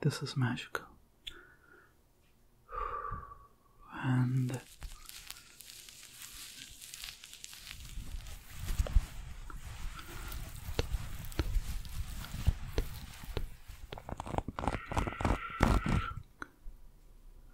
This is magical. And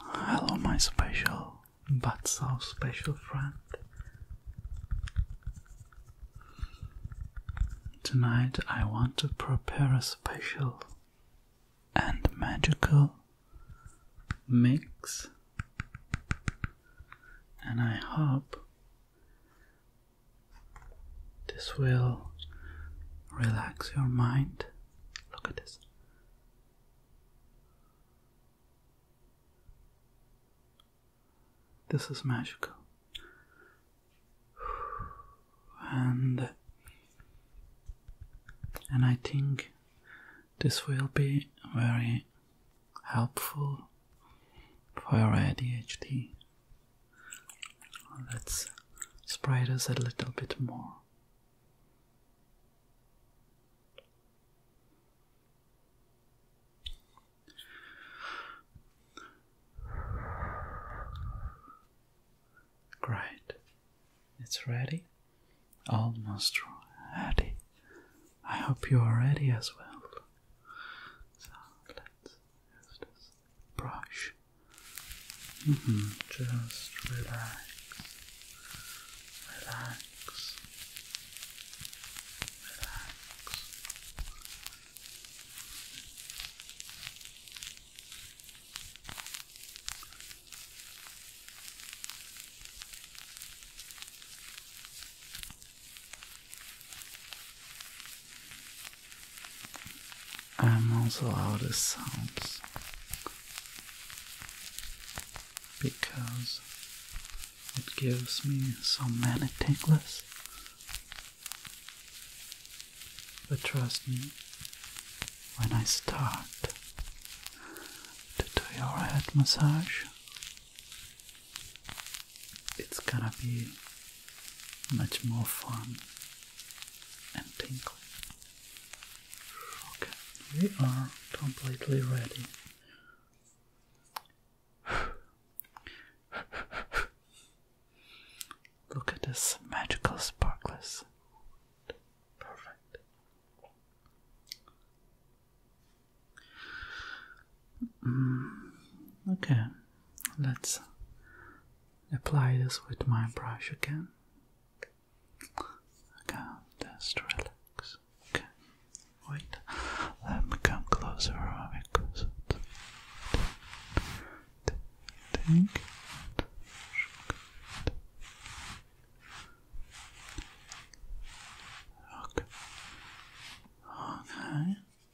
Hello, my special but so special friend. Tonight, I want to prepare a special and magical mix, and I hope this will relax your mind. Look at this. This is magical. And and I think this will be very helpful for your ADHD Let's spray this a little bit more. Great, it's ready, almost ready. I hope you are ready as well. So let's use this brush. -hmm. Just relax, relax, relax. I'm also out of sounds because it gives me so many tingles. But trust me, when I start to do your head massage, it's gonna be much more fun and tingly. Okay, we are completely ready. Look at this magical sparkles. Perfect. Mm, okay let's apply this with my brush again. Okay, just relax. Okay, wait, let me come closer because think. Okay. Okay.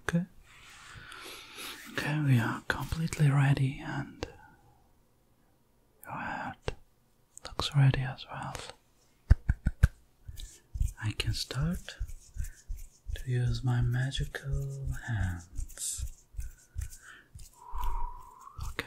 Okay. Okay, we are completely ready and your head looks ready as well. I can start to use my magical hands. Okay.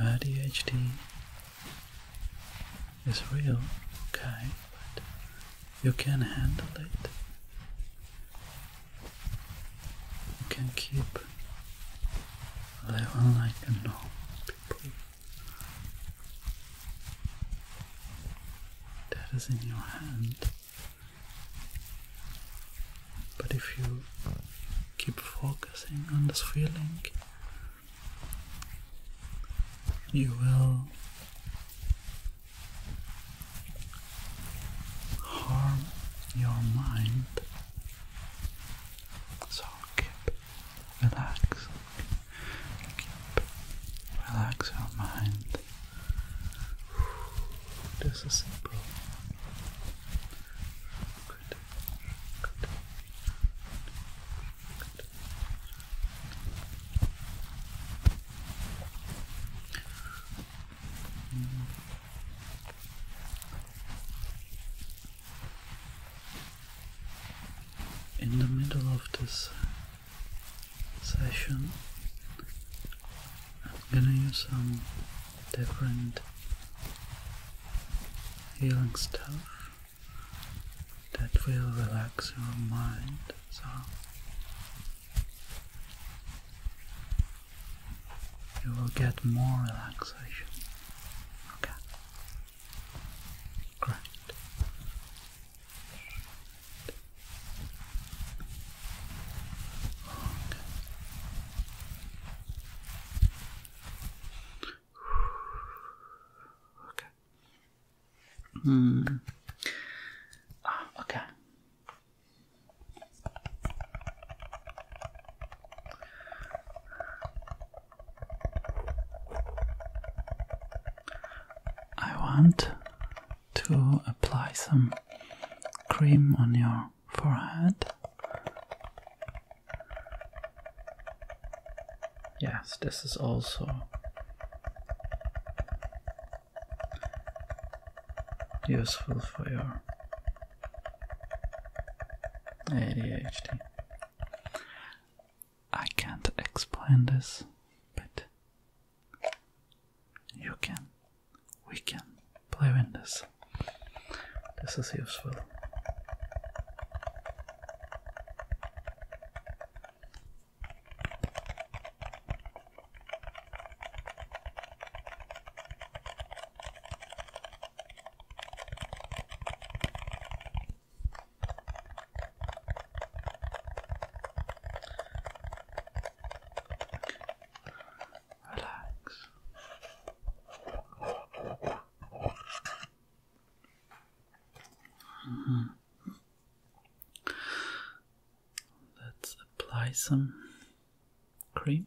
ADHD is real, okay, but you can handle it. You can keep living like normal people that is in your hand. But if you keep focusing on this feeling, you will harm your mind. So keep Relax. Keep relax your mind. This is simple. Good. Good. Good in the middle of this session, I'm gonna use some different healing stuff that will relax your mind. So you will get more relaxation. Okay. Great. Okay. Hmm. okay. I want to apply some cream on your forehead. Yes, this is also useful for your ADHD. I can't explain this, but you can. We can play with this. This is useful. Relax. Let's apply some cream.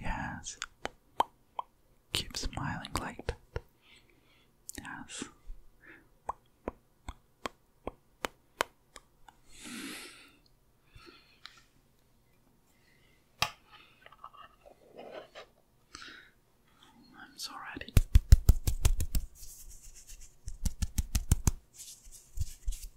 Yes. Keep smiling light. Yes. I'm so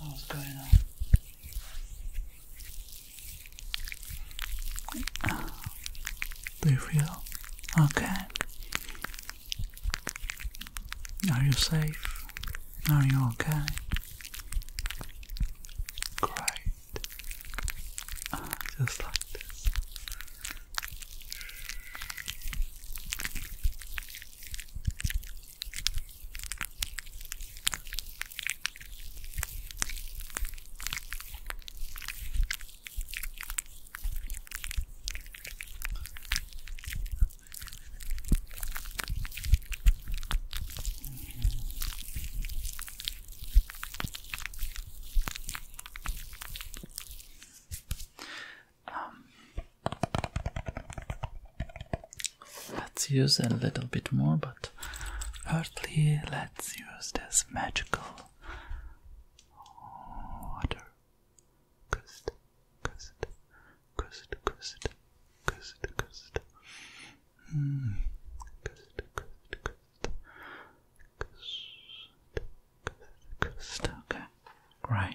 What's going on? Do you feel okay? Are you safe? Are you okay? Great. Ah, just like um, let's use a little bit more, but earthly, let's use this magical water. Crystal. Cust, cust, cust, cust, cust. Hmm. Cust, cust, cust. Cust, cust, cust. Okay, right.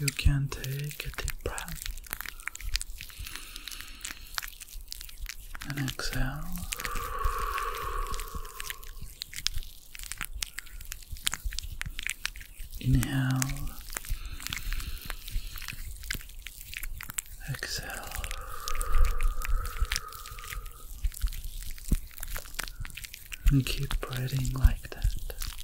you can take a deep breath and exhale. Inhale, exhale, and keep breathing like that.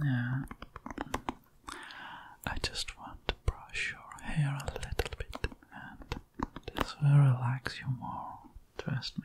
Yeah. I just want to brush your hair a little bit, and this will relax you more. Trust me.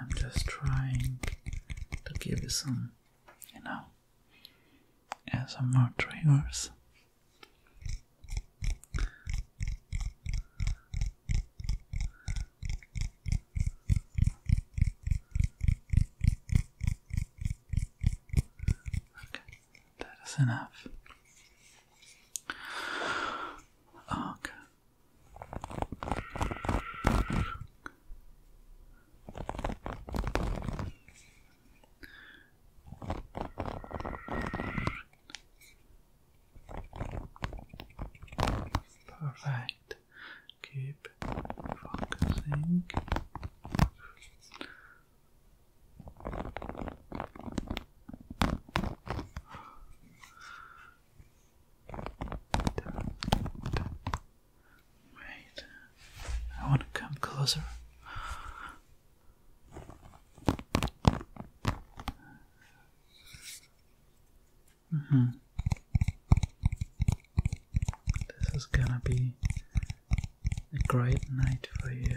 I'm just trying to give you some, you know, and some more triggers. Okay, that is enough. Okay, Perfect. Keep focusing. Wait, I want to come closer. Mm hmm This is gonna be a great night for you.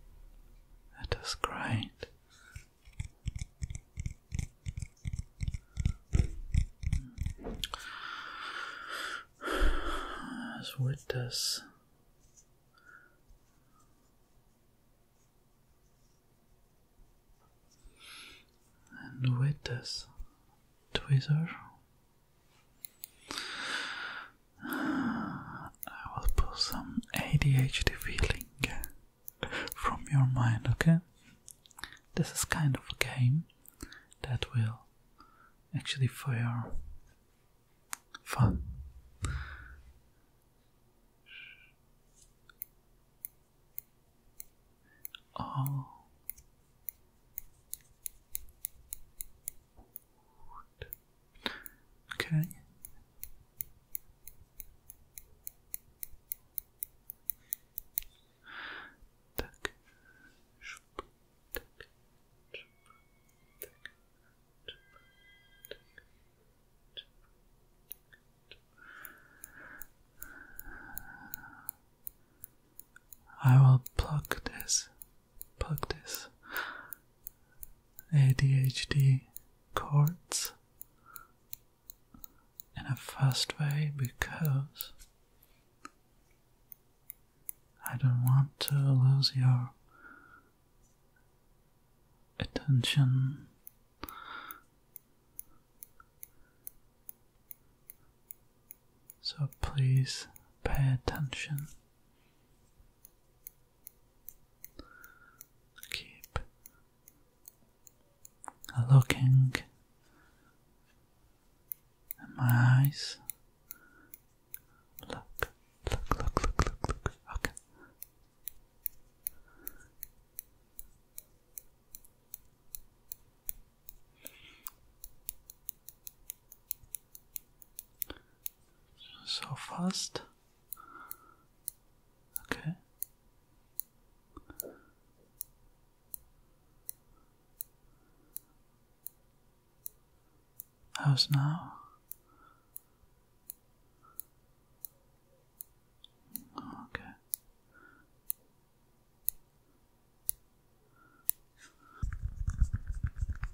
That is great. As with us, And with this tweezer, I will pull some ADHD feeling from your mind, okay? This is kind of a game that will actually for your fun. Oh. Okay. Так. Шуп. Так. Шуп. Так. Шуп. Так. Шуп. I will pluck this Practice, ADHD cards in a fast way because I don't want to lose your attention. So please pay attention. Keep looking at my eyes. Look, look, look, look, look, look. Okay. So fast. Okay. How's now? Okay.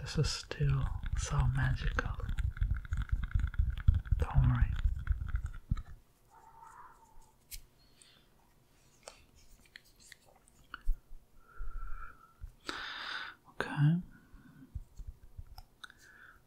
This is still so magical. do Okay.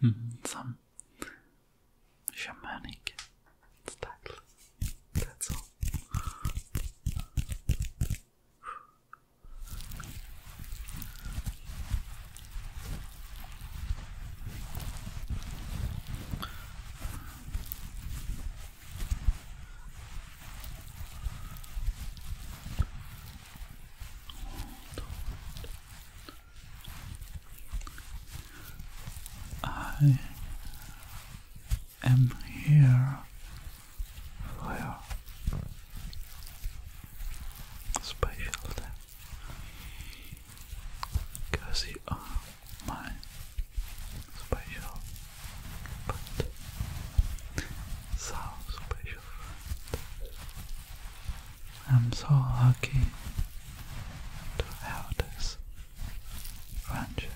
Hmm, some shamanic style. That's all. I am here for your special day because you are my special but so special I'm so lucky to have this friendship.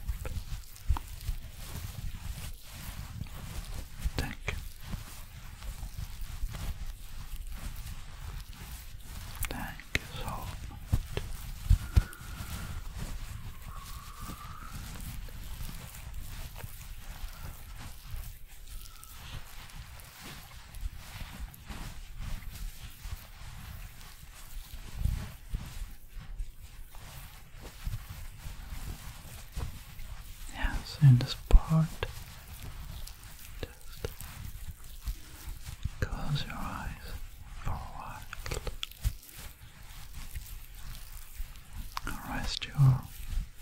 Thank you. Thank you so much. Yes, in this part, just close your eyes for a while. Rest your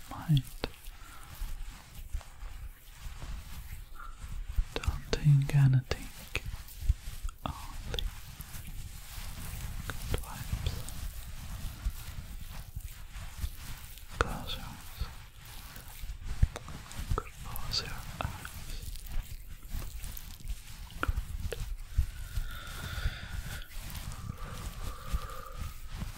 mind. Don't think anything. Only Close your eyes.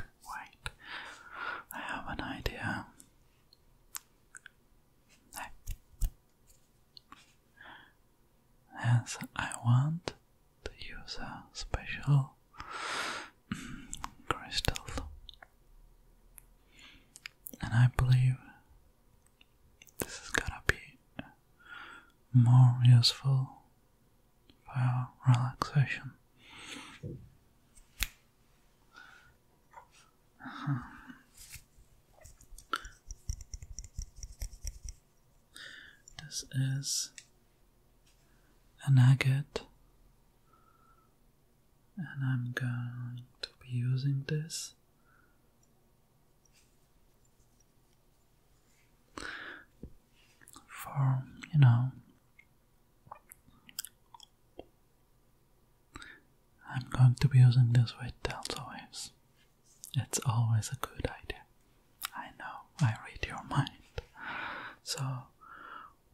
Wait, I have an idea. Yes, I want to use a special crystal, and I believe this is gonna be more useful for relaxation. This is an agate, and I'm going to be using this for you know I'm going to be using this with delta waves. It's always a good idea. I know, I read your mind. So,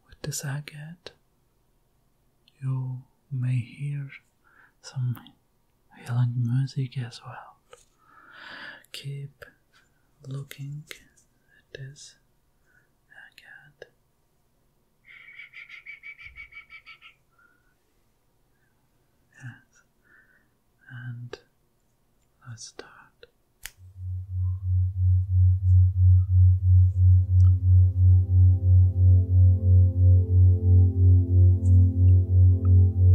with the agate, you may hear some healing music as well. Keep looking at this again. And let's start.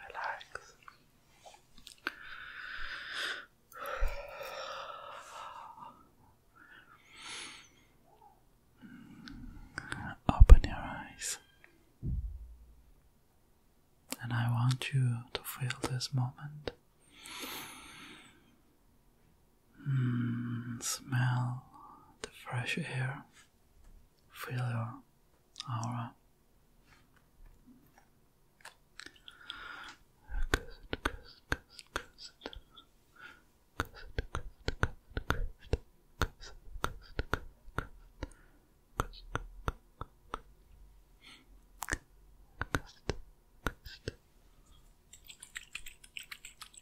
Relax. Open your eyes, and I want you to feel this moment Mm, smell the fresh air. Feel your aura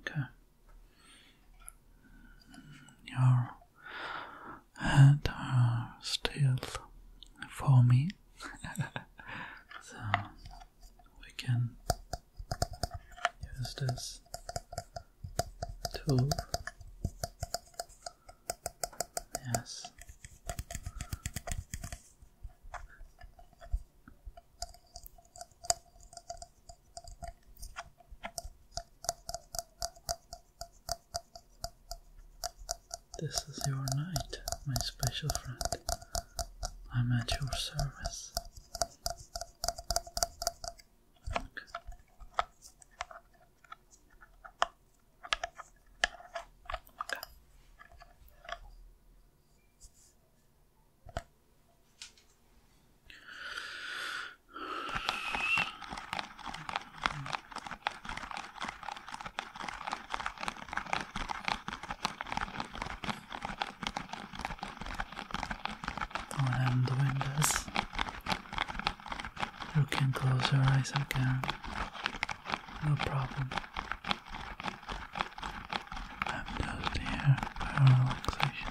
Okay. Your hands are still for me, so we can use this tool Yes. This is your night, my special friend. I'm at your service. Okay. And the windows. You can close your eyes again. No problem. I'm just here for Don't forget.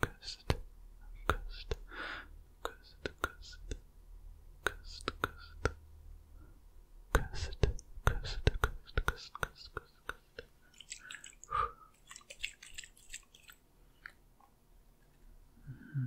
Cursed, cursed, cursed, cursed, cursed, cursed, cursed, cursed, cursed, cursed, cursed, cursed. Mm -hmm.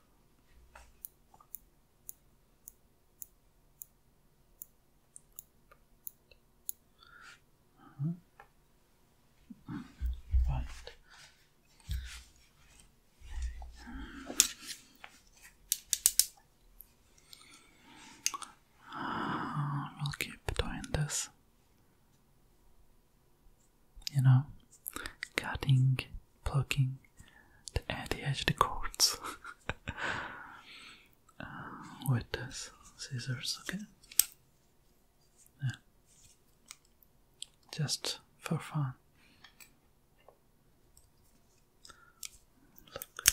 Uh Right. we'll keep doing this you know, cutting, plucking the, edge of the cords uh, with this scissors, okay? Yeah. Just for fun. Look.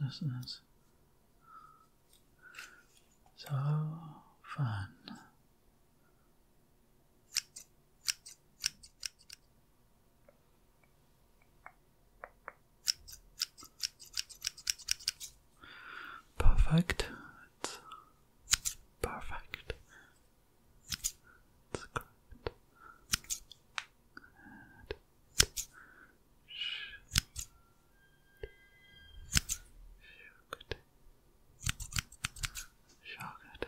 This is so fun. Perfect. perfect. It's correct. And Good. Shocked. Shocked.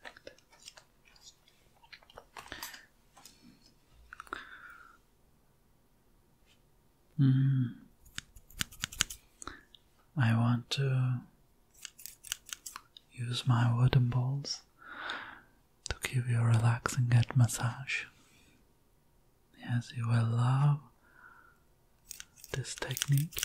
Perfect. Hmm. I want to use my wooden balls to give you a relaxing head massage. Yes, you will love this technique.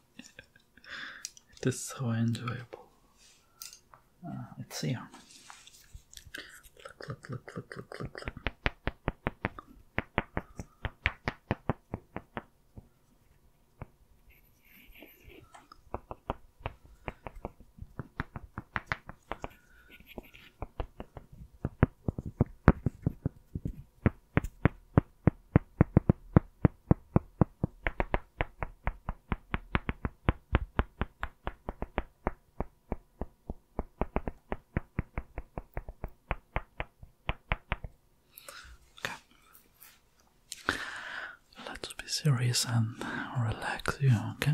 it is so enjoyable. Let's ah, see. Okay. Let's be serious and relax you, okay? Okay.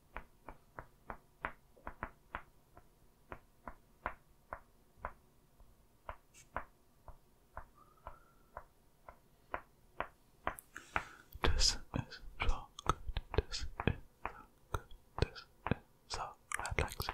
This is good. This is good. This is so relaxing.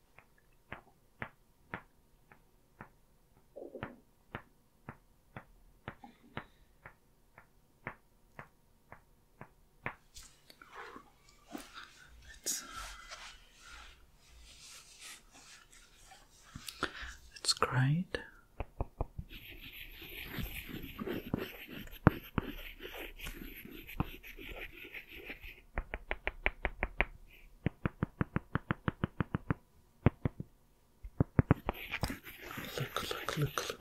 let great. Look, look, look, look.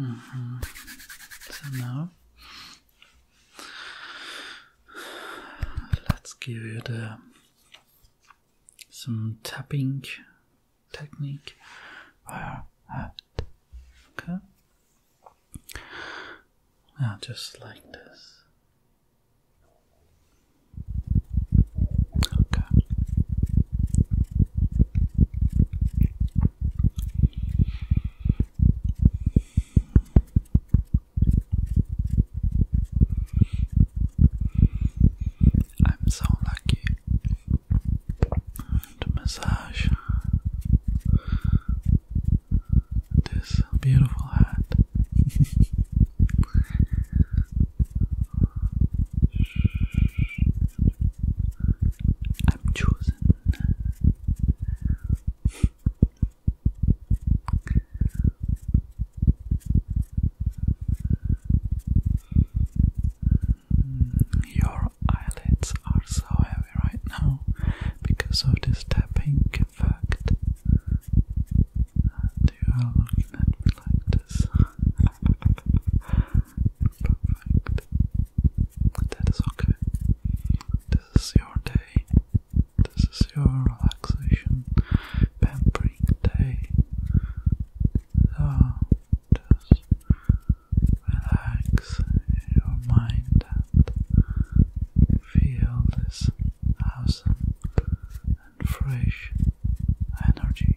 Mm -hmm. So now let's give you uh, the some tapping technique. Okay. Now ah, just like this. Okay. I'm so lucky to massage this beautiful hat. I'm chosen. Your eyelids are so heavy right now because of this tapping effect. And you are me like this. That is okay. This is your day. This is your relaxation, pampering day. So just relax your mind and feel this awesome and fresh energy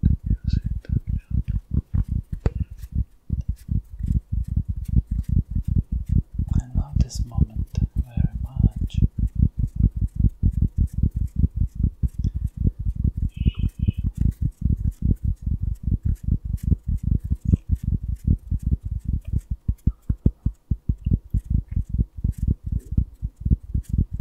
use it. I love this moment very much.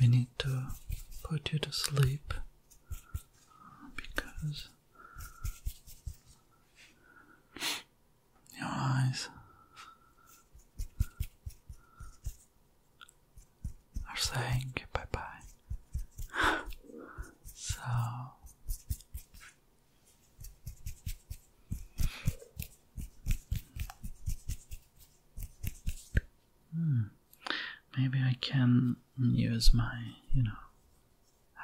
We need to put you to sleep because your eyes are saying bye so Hmm. Maybe I can use my, you know,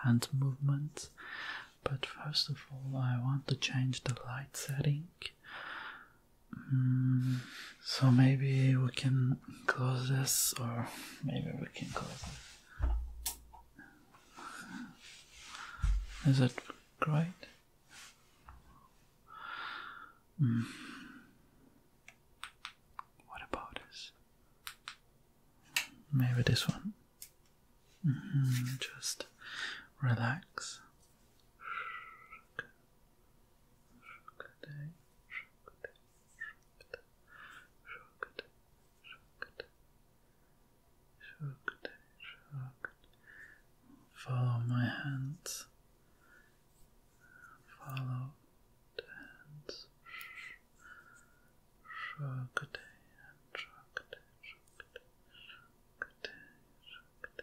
hand movement. But first of all, I want to change the light setting. Hmm. so maybe we can close this, or maybe we can close is it great? Hmm. What about this? Maybe this one. Hmm, just relax shocked, shocked, shocked. Follow my hands. Follow the hands. Shocked, shocked, shocked, shocked, shocked. Shocked.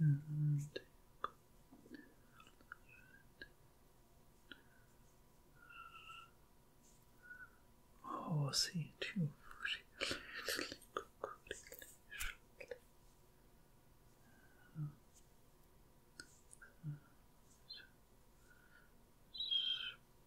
And oh, see too.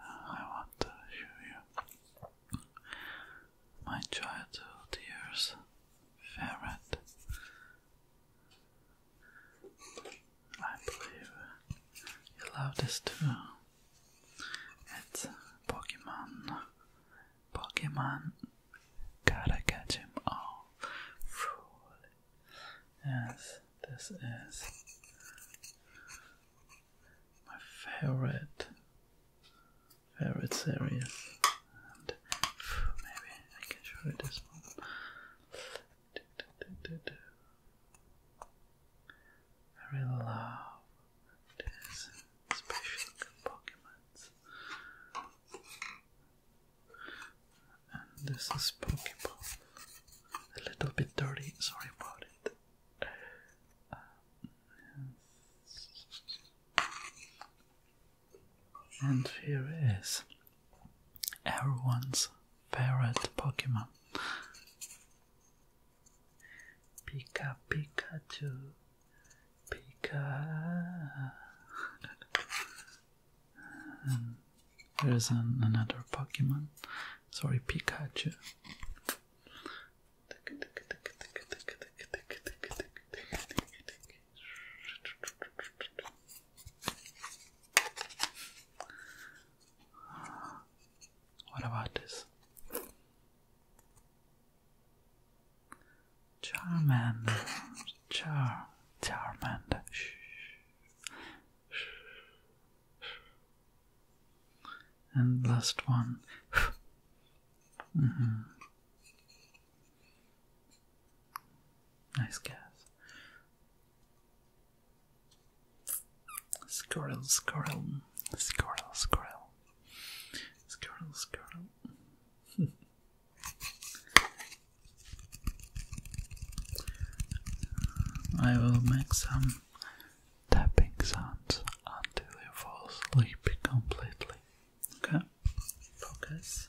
I want to show you my childhood years ferret. I believe you love this too. It's Pokemon. Pokemon. Gotta catch all. Fool Yes, this is my favorite favorite series. maybe I can show you this one. I really love these special Pokemons. And this is Pokeball. A little bit dirty, sorry about it. Uh, and here is everyone's favorite Pokemon Pika Pikachu. Pika. And there's an, another Pokemon. Sorry, Pikachu. What about this? Charmander. Char Charmander. And last one. Mm-hmm. Nice guess. Squirrel, squirrel, squirrel, squirrel, squirrel, squirrel. I will make some tapping sounds until you fall asleep completely. Okay, focus.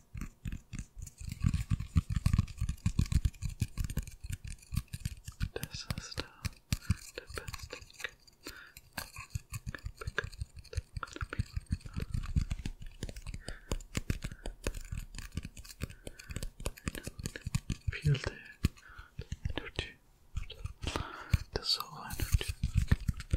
This is the, the best thing could be. Feel the energy, the soul energy. The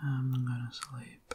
I'm gonna sleep.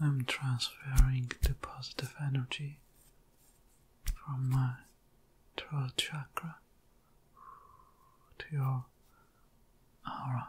I'm transferring the positive energy from my throat chakra to your aura.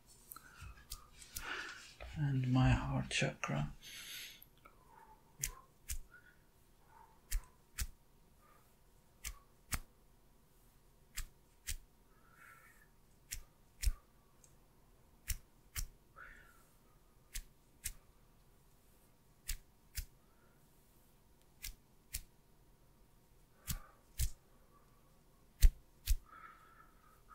and my heart chakra.